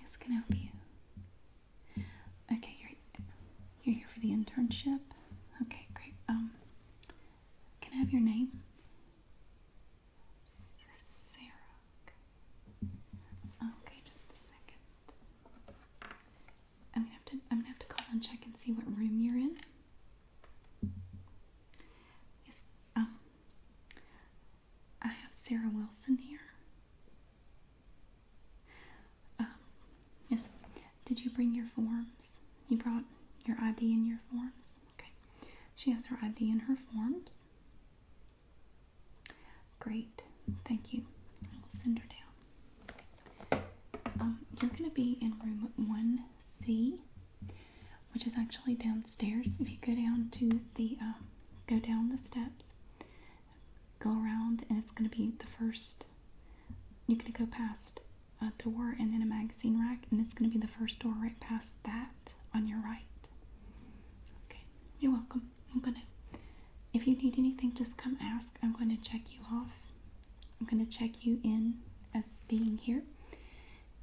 Yes, can I help you? Okay, you're you're here for the internship. Okay, great. Um, can I have your name? Sarah. Okay. just a second. I'm gonna have to I'm gonna have to call and check and see what room you're in. Yes, um I have Sarah Wilson here. Um, yes. Did you bring your forms? You brought your ID and your forms? Okay. She has her ID and her forms. Great. Thank you. I will send her down. Um, you're going to be in room 1C, which is actually downstairs. If you go down to the, um, go down the steps, go around, and it's going to be the first, you're going to go past a door and then a magazine rack, and it's going to be the first door right past that on your right. Okay, you're welcome. I'm gonna, if you need anything, just come ask. I'm going to check you off. I'm going to check you in as being here,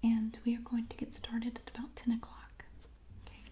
and we are going to get started at about 10 o'clock. Okay.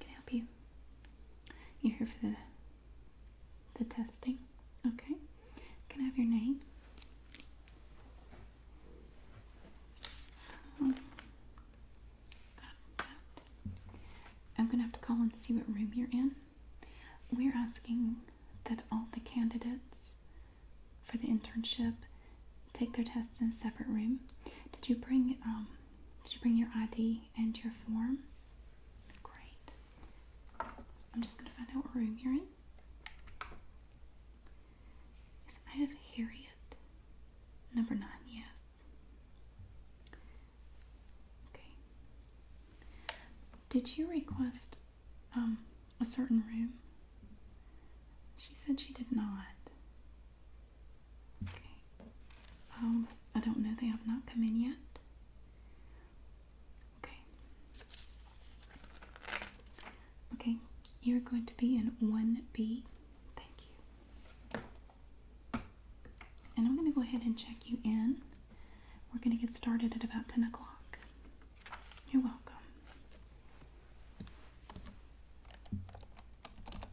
Can I help you? You're here for the the testing. Okay. Can I have your name? Um, I'm gonna have to call and see what room you're in. We're asking that all the candidates for the internship take their test in a separate room. Did you bring um, did you bring your ID and your forms? Great. I'm just going to find out what room you're in. Yes, I have Harriet. Number nine, yes. Okay. Did you request um, a certain room? She said she did not. Okay. Um, I don't know. They have not come in yet. Okay. Okay, you're going to be in 1B. Thank you. And I'm going to go ahead and check you in. We're going to get started at about 10 o'clock. You're welcome. Number nine. Um,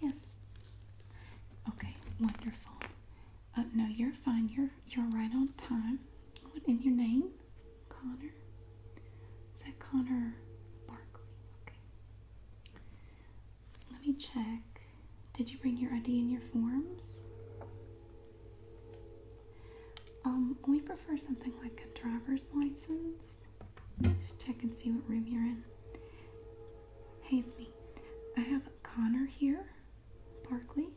Yes. Okay, wonderful. Uh, no, you're fine. You're you're right on time. What in your name? Connor? Is that Connor Barkley? Let me check. Did you bring your ID and your forms? Um, we prefer something like a driver's license. Just, check and see what room you're in. Hey, it's me. I have Connor here, Barkley.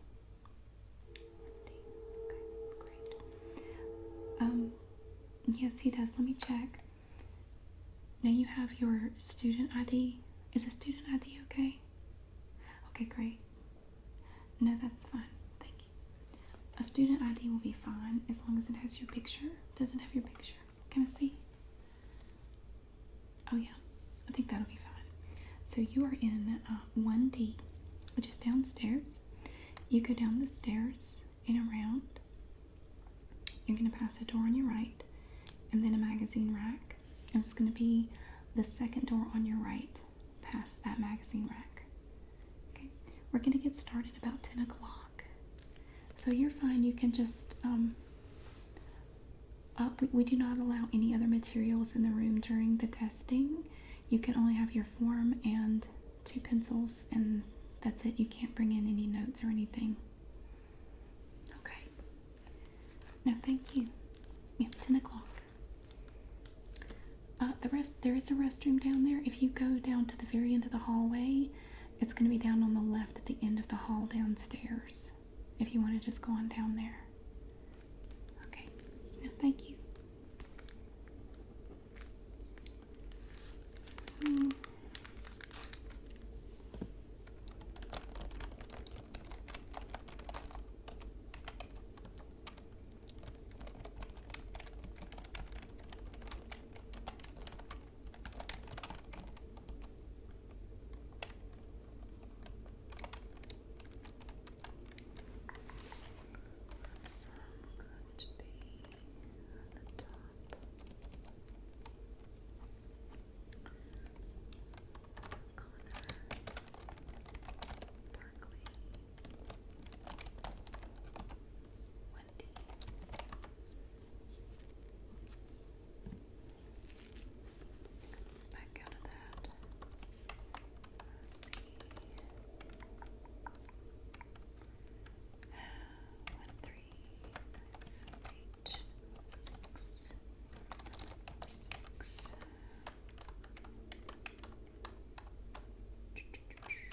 Okay, great. Um, yes, he does. Let me check. Now you have your student ID. Is a student ID okay? Okay, great. No, that's fine. Thank you. A student ID will be fine as long as it has your picture. Doesn't have your picture. Can I see? Oh, yeah. I think that'll be fine. So you are in 1D, uh, which is downstairs. You go down the stairs and around. You're going to pass a door on your right and then a magazine rack. And it's going to be the second door on your right past that magazine rack. Okay, we're going to get started about 10 o'clock. So you're fine, you can just, um, uh, we, we do not allow any other materials in the room during the testing. You can only have your form and two pencils, and that's it. You can't bring in any notes or anything. Okay. No, thank you. Yeah, 10 o'clock. Uh, the rest there is a restroom down there. If you go down to the very end of the hallway, it's going to be down on the left at the end of the hall downstairs. If you want to just go on down there. Okay. thank you. Hmm. That's um, be on the top. Connor Barkley. Wendy. Back out of that. Let's see. One, three, nine, seven, eight, six, six. Ch -ch -ch -ch.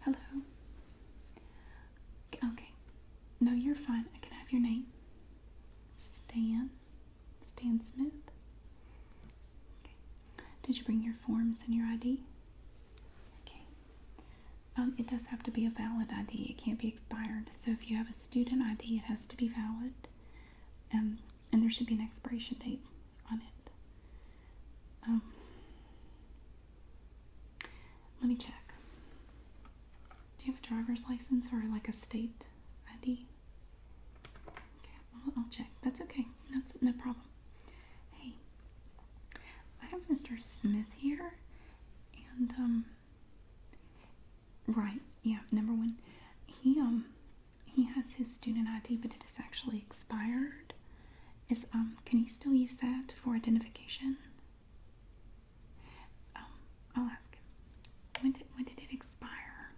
Hello. Okay. No, you're fine. I can have your name. Stan. Stan Smith. Did you bring your forms and your ID? Okay. Um, it does have to be a valid ID. It can't be expired. So if you have a student ID, it has to be valid. Um, and there should be an expiration date on it. Um, let me check. Do you have a driver's license or like a state ID? Okay, I'll, check. That's okay. That's no problem. Hey, I have Mr. Smith here, and um, right, yeah, number one, he um, he has his student ID, but it is actually expired is um can he still use that for identification? Um, I'll ask him. When did when did it expire?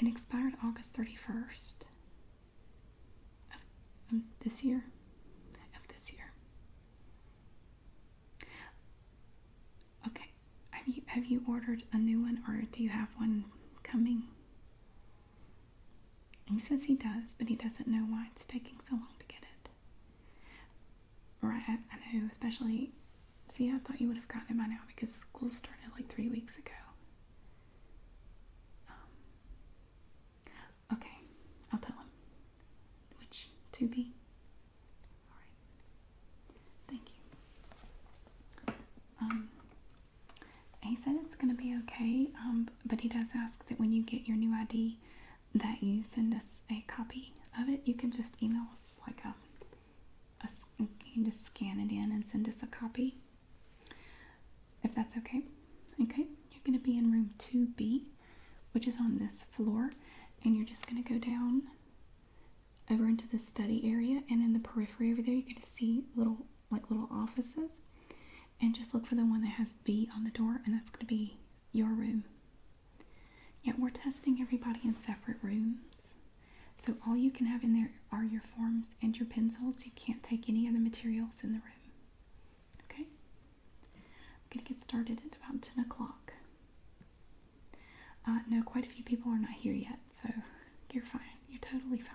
It expired August thirty first of this year. Of this year. Okay. Have you have you ordered a new one or do you have one coming? He says he does, but he doesn't know why it's taking so long to get it. Right, I, know, especially. See, I thought you would have gotten it by now because school started like three weeks ago. Um, okay, I'll tell him. Which, to be? Alright. Thank you. Um, he said it's going to be okay, um, but he does ask that when you get your new ID that you send us a copy of it. You can just email us like a, a you can just scan it in and send us a copy if that's okay. Okay, you're going to be in room 2B, which is on this floor, and you're just going to go down over into the study area and in the periphery over there you're going to see little like little offices and just look for the one that has B on the door and that's going to be your room. Yeah, we're testing everybody in separate rooms. So all you can have in there are your forms and your pencils. You can't take any other materials in the room. Okay? I'm going to get started at about 10 o'clock. Uh, no, quite a few people are not here yet, so you're fine. You're totally fine.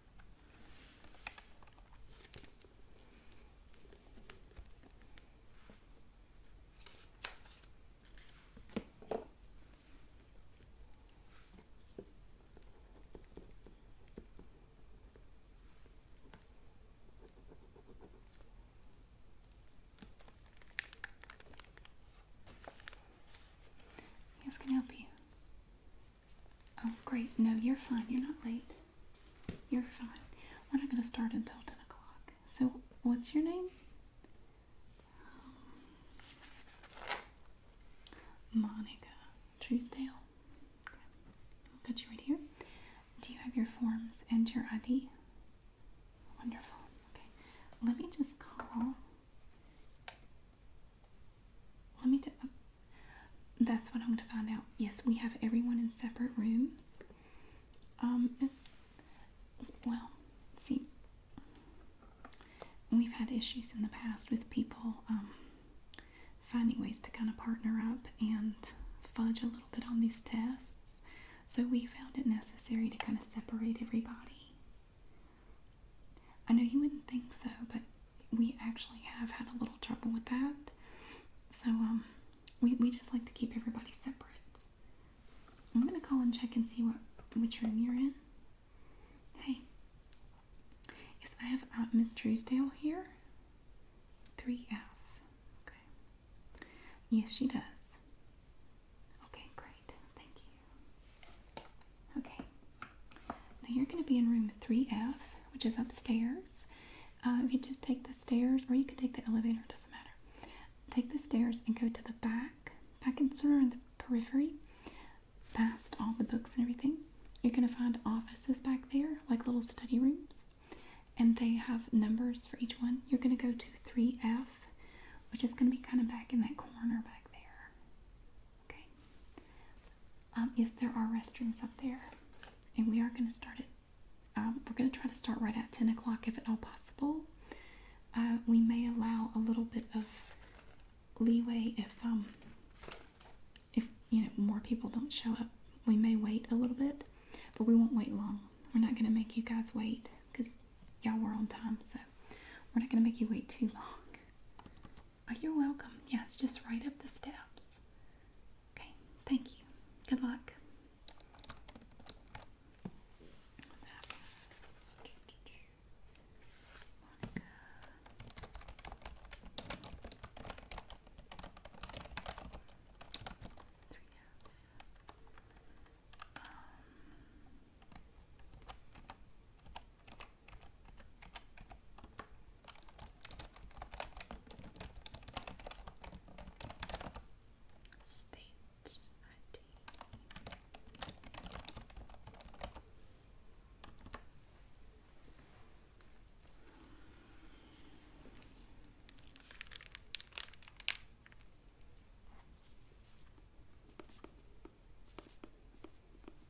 He's gonna help you? Oh, great. No, you're fine. You're not late. You're fine. We're not going to start until 10 o'clock. So, what's your name? Um, Monica Truesdale. Okay. I'll put you right here. Do you have your forms and your ID? Wonderful. Okay. Let me just call let me that's what I'm going to find out. Yes, we have everyone in separate rooms. Um, well, see, we've had issues in the past with people um, finding ways to kind of partner up and fudge a little bit on these tests. So we found it necessary to kind of separate everybody. I know you wouldn't think so, but we actually have had a little trouble with that. So um, we we just like to keep everybody separate. I'm gonna call and check and see what which room you're in. Hey, yes, I have uh, Miss Truesdale here. Three F. Okay. Yes, she does. Okay, great. Thank you. Okay, now you're going to be in room 3F, which is upstairs. Uh, if you just take the stairs, or you could take the elevator, it doesn't matter. Take the stairs and go to the back, back in sort of the periphery, past all the books and everything. You're going to find offices back there, like little study rooms, and they have numbers for each one. You're going to go to 3F, which is going to be kind of back in that corner back there. Okay. Um, yes, there are restrooms up there, and we are going to start it. Um, we're going to try to start right at 10 o'clock if at all possible. Uh, we may allow a little bit of leeway if, um, if you know, more people don't show up. We may wait a little bit, but we won't wait long. We're not going to make you guys wait because y'all were on time, so we're not going to make you wait too long. Oh, you're welcome. Yes, just right up the steps. Okay, thank you. Good luck. State ID.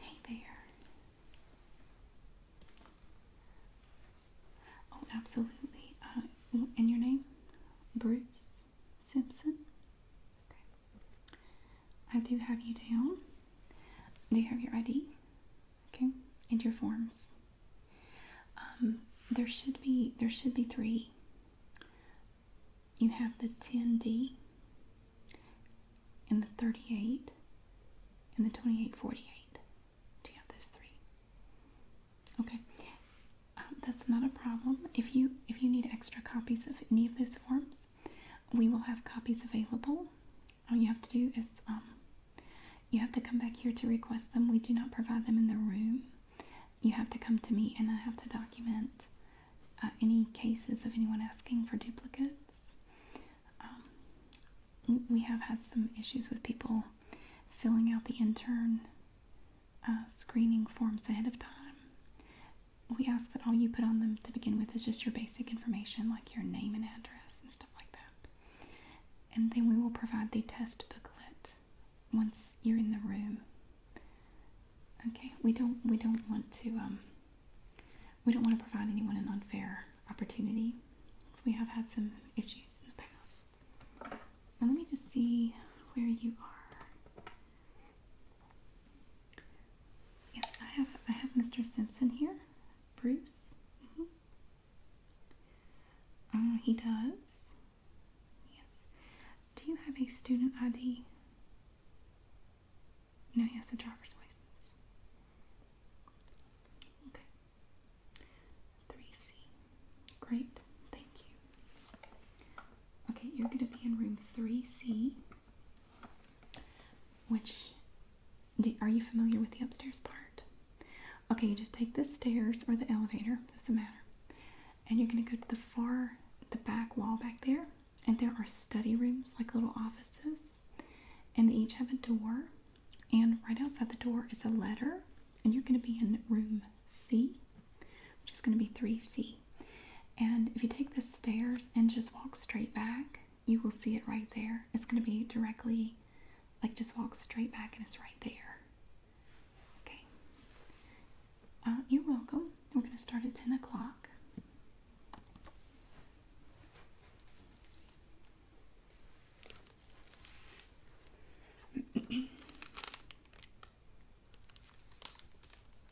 Hey there. Oh, absolutely. Uh, and your name? Bruce? Simpson. I do have you down. Do you have your ID? Okay, and your forms. Um, there should be there should be three. You have the 10D and the 38 and the 2848. Do you have those three? Okay. Um, that's not a problem. If you if you need extra copies of any of those forms, we will have copies available. All you have to do is um, you have to come back here to request them. We do not provide them in the room. You have to come to me, and I have to document uh, any cases of anyone asking for duplicates. Um, we have had some issues with people filling out the intern uh, screening forms ahead of time we ask that all you put on them to begin with is just your basic information like your name and address and stuff like that. And then we will provide the test booklet once you're in the room. Okay, we don't we don't want to um, we don't want to provide anyone an unfair opportunity. So we have had some issues in the past. let me just see where you are. Yes, I have. I have Mr. Simpson here, Bruce. Mm-hmm. Uh, he does. Yes. Do you have a student ID? No, he has a driver's license. Okay. Three C. Great. Thank you. Okay, you're going to be in room 3C, which are you familiar with the upstairs part? Okay, you just take the stairs or the elevator, doesn't matter. And you're going to go to the far, the back wall back there, and there are study rooms, like little offices, and they each have a door. And right outside the door is a letter, and you're going to be in room C, which is going to be 3C. And if you take the stairs and just walk straight back, you will see it right there. It's going to be directly, like, just walk straight back and it's right there. Okay. Uh, you're welcome. We're going to start at 10 o'clock.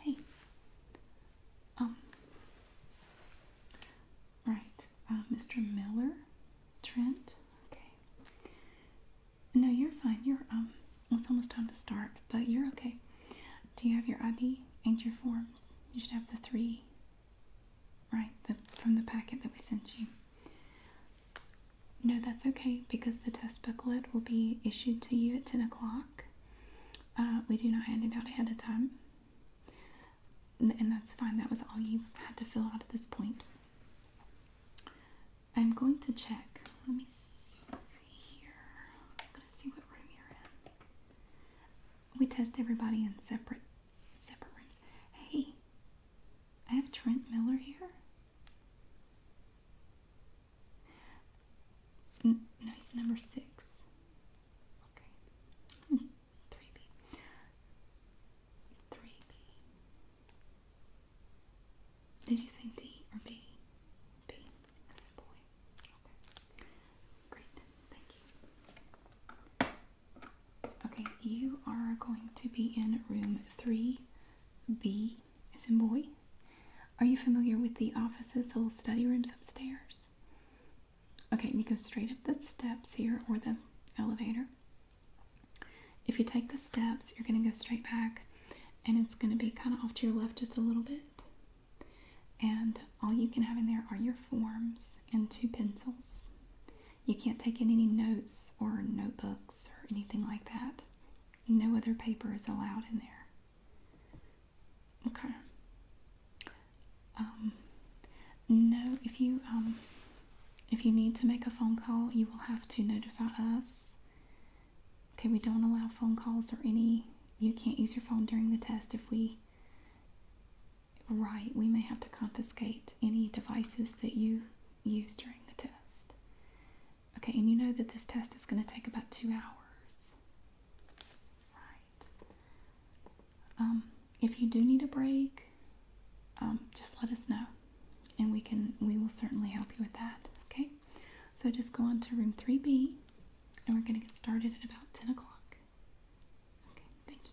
Hey, um, all right, uh, Mr. Miller, Trent. Okay. No, you're fine. You're um, it's almost time to start, but you're okay. Do you have your ID and your forms? You should have the three. Right, the from the packet that we sent you. No, that's okay because the test booklet will be issued to you at ten o'clock. Uh, we do not hand it out ahead of time and, that's fine. That was all you had to fill out at this point. I'm going to check. Let me see here. I'm going to see what room you're in. We test everybody in separate separate rooms. Hey, I have Trent Miller here. N no, he's number six. Okay. Hmm. 3B. 3B. Did you say D or B? said boy. Okay. Great. Thank you. Okay, you are going to be in room 3B, as in boy. Are you familiar with the offices, the little study rooms upstairs? Okay, and you go straight up the steps here or the elevator. If you take the steps, you're going to go straight back and it's going to be kind of off to your left just a little bit. And all you can have in there are your forms and two pencils. You can't take in any notes or notebooks or anything like that. No other paper is allowed in there. Okay. Um, no, if you um, if you need to make a phone call, you will have to notify us. Okay, we don't allow phone calls or any. You can't use your phone during the test if we. Right, we may have to confiscate any devices that you use during the test. Okay, and you know that this test is going to take about two hours. Right. Um, if you do need a break, um, just let us know, and we can we will certainly help you with that. Okay, so just go on to room three B, and we're going to get started at about ten o'clock. Okay, thank you.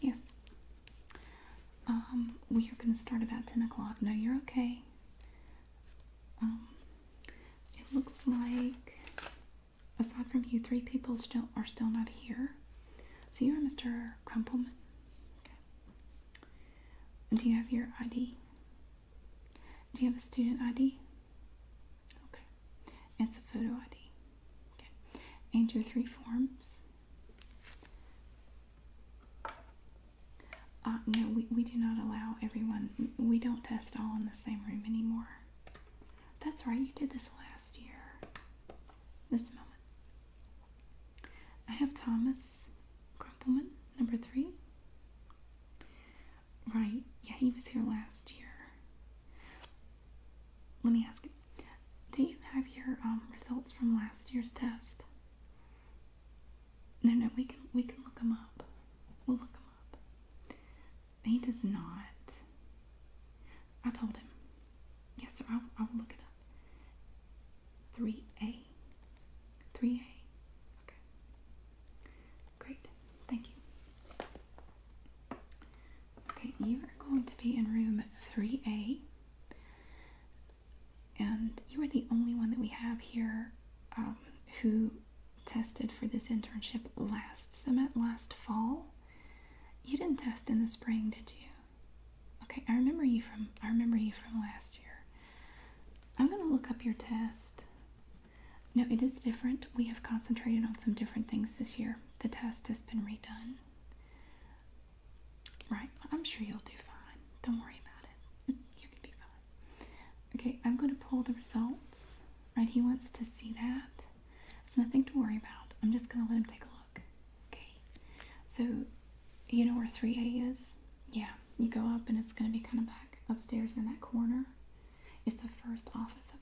Yes. Um, we are going to start about 10 o'clock. No, you're okay. Um, it looks like, aside from you, three people still are still not here. So you're Mr. Crumpleman. Do you have your ID? Do you have a student ID? Okay. It's a photo ID. Okay. And your three forms? Uh, no, we, we do not allow everyone, we don't test all in the same room anymore. That's right, you did this last year. Just a moment. I have Thomas Grumpelman, number three. Right, yeah, he was here last year. Let me ask you, do you have your um, results from last year's test? No, no, we can we can look him up. We'll look him up. He does not. I told him. Yes, sir. I I will look it up. 3A. 3A. Okay. Great. Thank you. Okay, you are going to be in room 3A. And you are the only one that we have here um, who tested for this internship last summit, last fall. You didn't test in the spring, did you? Okay, I remember you from I remember you from last year. I'm going to look up your test. No, it is different. We have concentrated on some different things this year. The test has been redone. Right, I'm sure you'll do fine. Don't worry about it. You're going to be fine. Okay, I'm going to pull the results. Right, he wants to see that. It's nothing to worry about. I'm just going to let him take a look. Okay, so you know where 3A is? Yeah, you go up and it's going to be kind of back upstairs in that corner. It's the first office up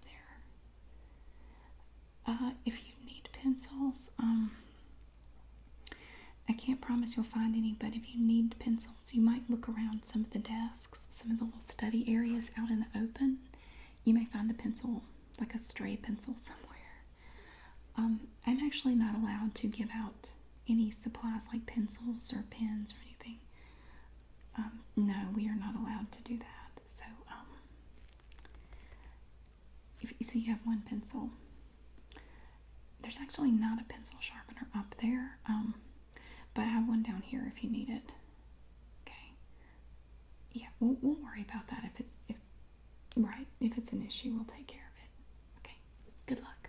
there. Uh, if you need pencils, um, I can't promise you'll find any, but if you need pencils, you might look around some of the desks, some of the little study areas out in the open. You may find a pencil, like a stray pencil somewhere. Um, I'm actually not allowed to give out any supplies like pencils or pens or anything. Um, no, we are not allowed to do that. So, um, if, so you have one pencil. There's actually not a pencil sharpener up there, um, but I have one down here if you need it. Okay. Yeah, we'll, we'll worry about that if if right if it's an issue, we'll take care of it. Okay. Good luck.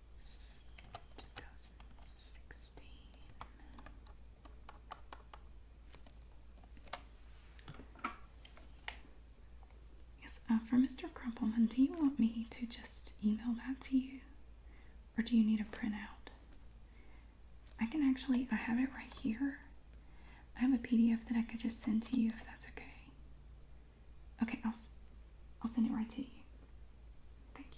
Yes, uh, for Mr. Crumpleman, do you want me to just email that to you? Or do you need a printout? I can actually, I have it right here. I have a PDF that I could just send to you if that's okay. Okay, I'll, I'll send it right to you. Thank you.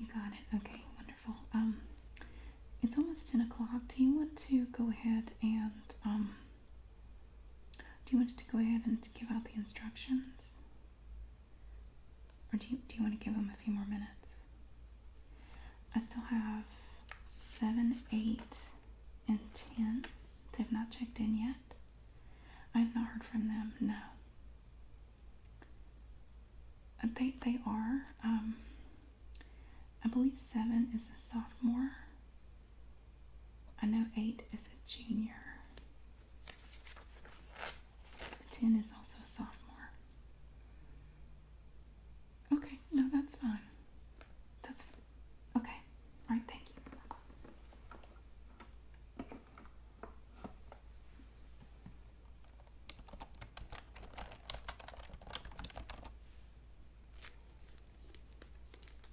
You got it. Okay, wonderful. Um, it's almost ten o'clock. Do you want to go ahead and um? Do you want us to go ahead and give out the instructions? Or do you, do you want to give them a few more minutes? I still have 7, 8, and 10. They've not checked in yet. I've not heard from them, no. Uh, they, they are. Um, I believe 7 is a sophomore I know 8 is a junior. 10 is also a sophomore. Okay, no, that's fine. That's okay. All right, thank you.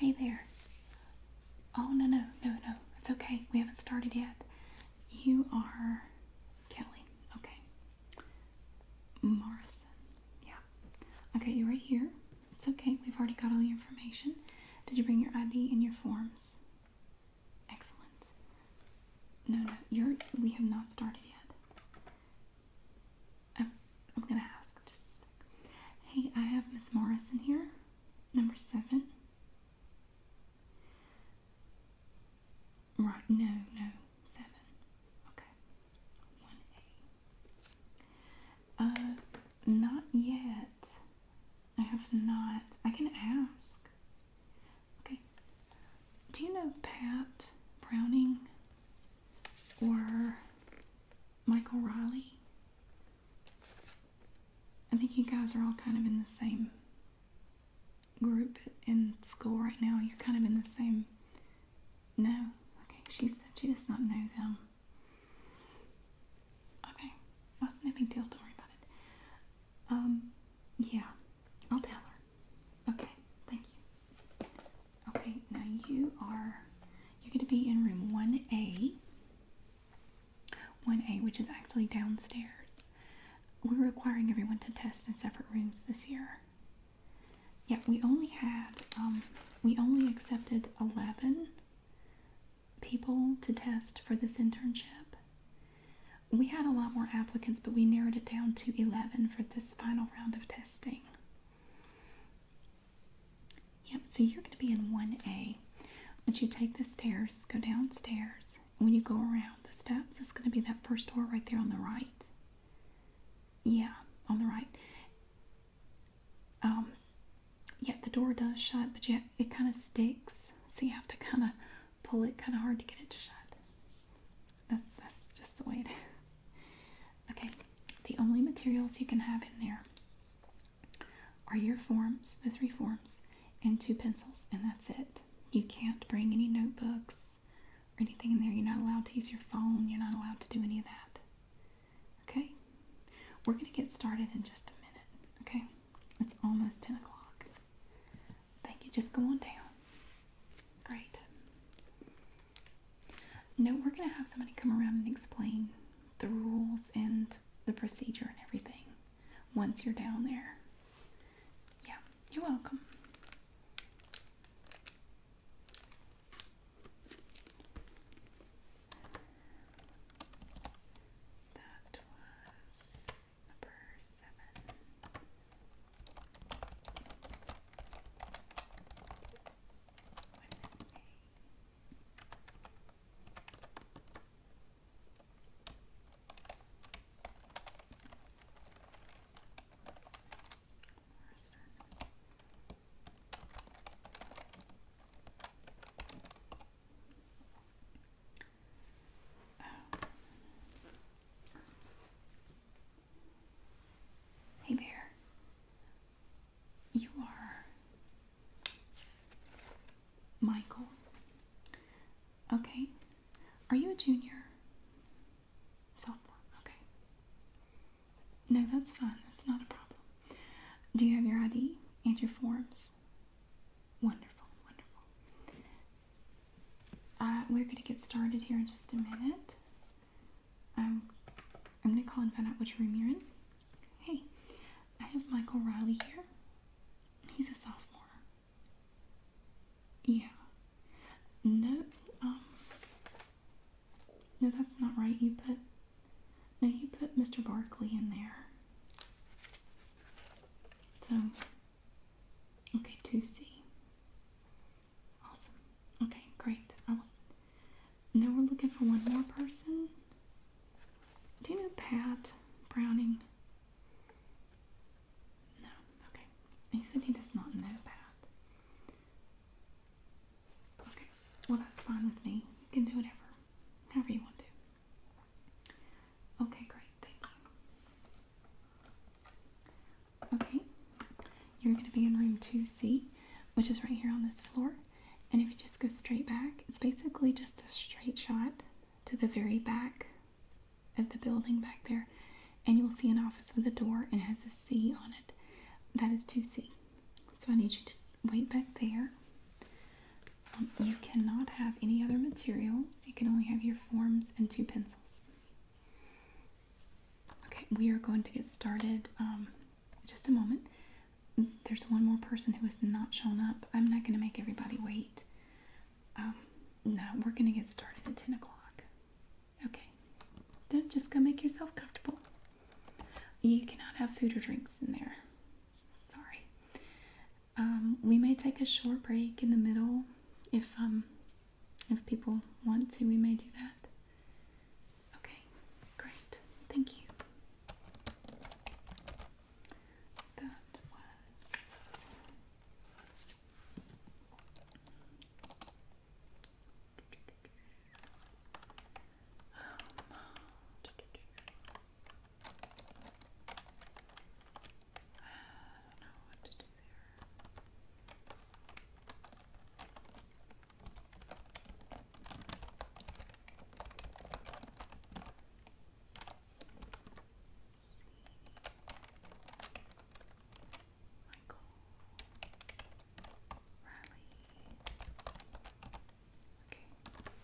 Hey there. Oh, no, no, no, no. It's okay. We haven't started yet. You are Kelly. Okay. Morrison. Yeah. Okay, you're right here. It's okay. We've already got all your information. Did you bring your ID and your forms? Excellent. No, no, you're. We have not started yet. I'm, I'm gonna ask. Just Hey, I have Miss Morrison here, number seven. Right, no, no, seven. Okay. One A. Uh, not yet. I have not. I can ask. Okay. Do you know Pat Browning or Michael Riley? I think you guys are all kind of in the same group in school right now. You're kind of in the same. No. Okay, she said she does not know them. Okay, that's no big deal. Don't worry about it. Um, yeah, I'll tell her. Okay, thank you. Okay, now you are. You're going to be in room 1A. 1A, which is actually downstairs. We're requiring everyone to test in separate rooms this year. Yeah, we only had, um, we only accepted 11 people to test for this internship. We had a lot more applicants, but we narrowed it down to 11 for this final round of testing. Yep, so you're going to be in 1A. Once you take the stairs, go downstairs. When you go around the steps, it's going to be that first door right there on the right. Yeah, on the right. Um, yeah, the door does shut, but yeah, it kind of sticks, so you have to kind of pull it kind of hard to get it to shut. That's that's just the way it is. Okay, the only materials you can have in there are your forms, the three forms, and two pencils, and that's it. You can't bring any notebooks or anything in there. You're not allowed to use your phone. You're not allowed to do any of that. Okay? We're going to get started in just a minute. Okay? It's almost 10 o'clock. Thank you. Just go on down. Great. No, we're going to have somebody come around and explain the rules and the procedure and everything once you're down there. Yeah, you're welcome. That was number seven. Hey there. You are Michael. Okay. Are you a junior? Sophomore. Okay. No, that's fine. That's not a problem. Do you have your ID and your forms? Wonderful, wonderful. Uh, we're going to get started here in just a minute. Um, I'm going to call and find out which room you're in. Hey, I have Michael Riley here. He's a sophomore. Yeah. No, um, no, that's not right. You put, no, you put Mr. Barkley in there. So, okay, 2C. Awesome. Okay, great. now we're looking for one more person. Do you know Pat Browning? No, okay. He said he does not know Pat. Okay, well, that's fine with me. You can do whatever, however you want to. Okay, great, Okay, you're going to be in room 2C, which is right here on this floor. And if you just go straight back, it's basically just a straight shot to the very back of the building back there, and you will see an office with a door and has a C on it. That is 2C. So I need you to wait back there. Um, you cannot have any other materials. You can only have your forms and two pencils. Okay, we are going to get started um, just a moment there's one more person who has not shown up. I'm not going to make everybody wait. Um, no, we're going to get started at 10 o'clock. Okay. Then just go make yourself comfortable. You cannot have food or drinks in there. Sorry. Um, we may take a short break in the middle if um if people want to, we may do that. Okay, great. Thank you. That was I don't know what to do there. Let's see. Michael Riley. Okay.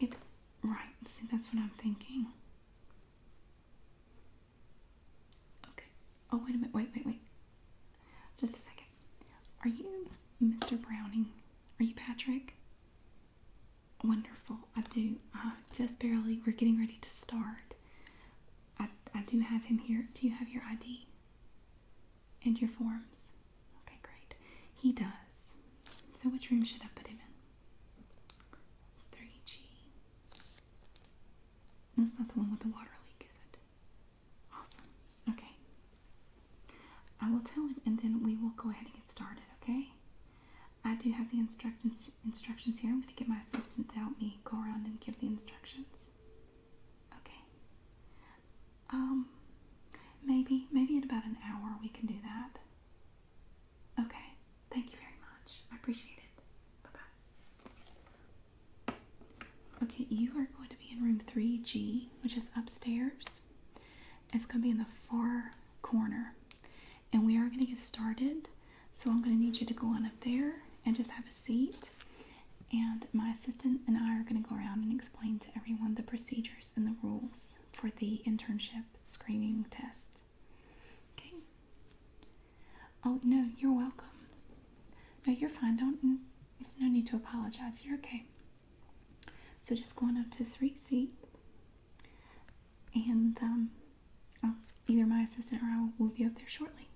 It right, see that's what I'm thinking. Okay. Oh wait a minute, wait, wait, wait. Just a second. Are you Mr. Browning? Are you Patrick? Wonderful. I do. Uh, just barely. We're getting ready to start. I, I do have him here. Do you have your ID and your forms? Okay, great. He does. So, which room should I put him in? 3G. That's not the one with the water leak, is it? Awesome. Okay. I will tell him and then we will go ahead and get started, okay? I do have the instructions instructions here. I'm going to get my assistant to help me go around and give the instructions. Okay. Um, maybe, maybe in about an hour we can do that. Okay. Thank you very much. I appreciate it. Bye-bye. Okay, you are going to be in room 3G, which is upstairs. It's going to be in the far corner. And we are going to get started so I'm going to need you to go on up there and just have a seat. And my assistant and I are going to go around and explain to everyone the procedures and the rules for the internship screening test. Okay. Oh, no, you're welcome. No, you're fine. Don't, there's no need to apologize. You're okay. So just going up to 3C. And um, oh, either my assistant or I will be up there shortly.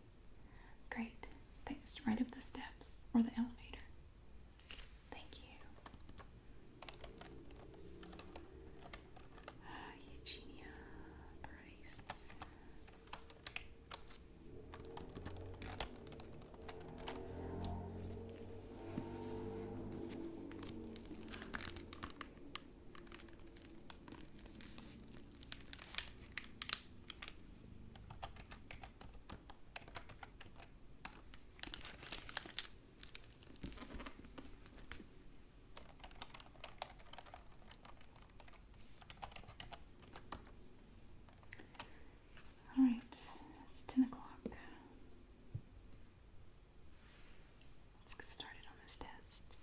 Great. Thanks. Right up the steps or the elevator. Thank you. Uh, Eugenia Bryce. All right, it's 10 o'clock. Let's get started on this test.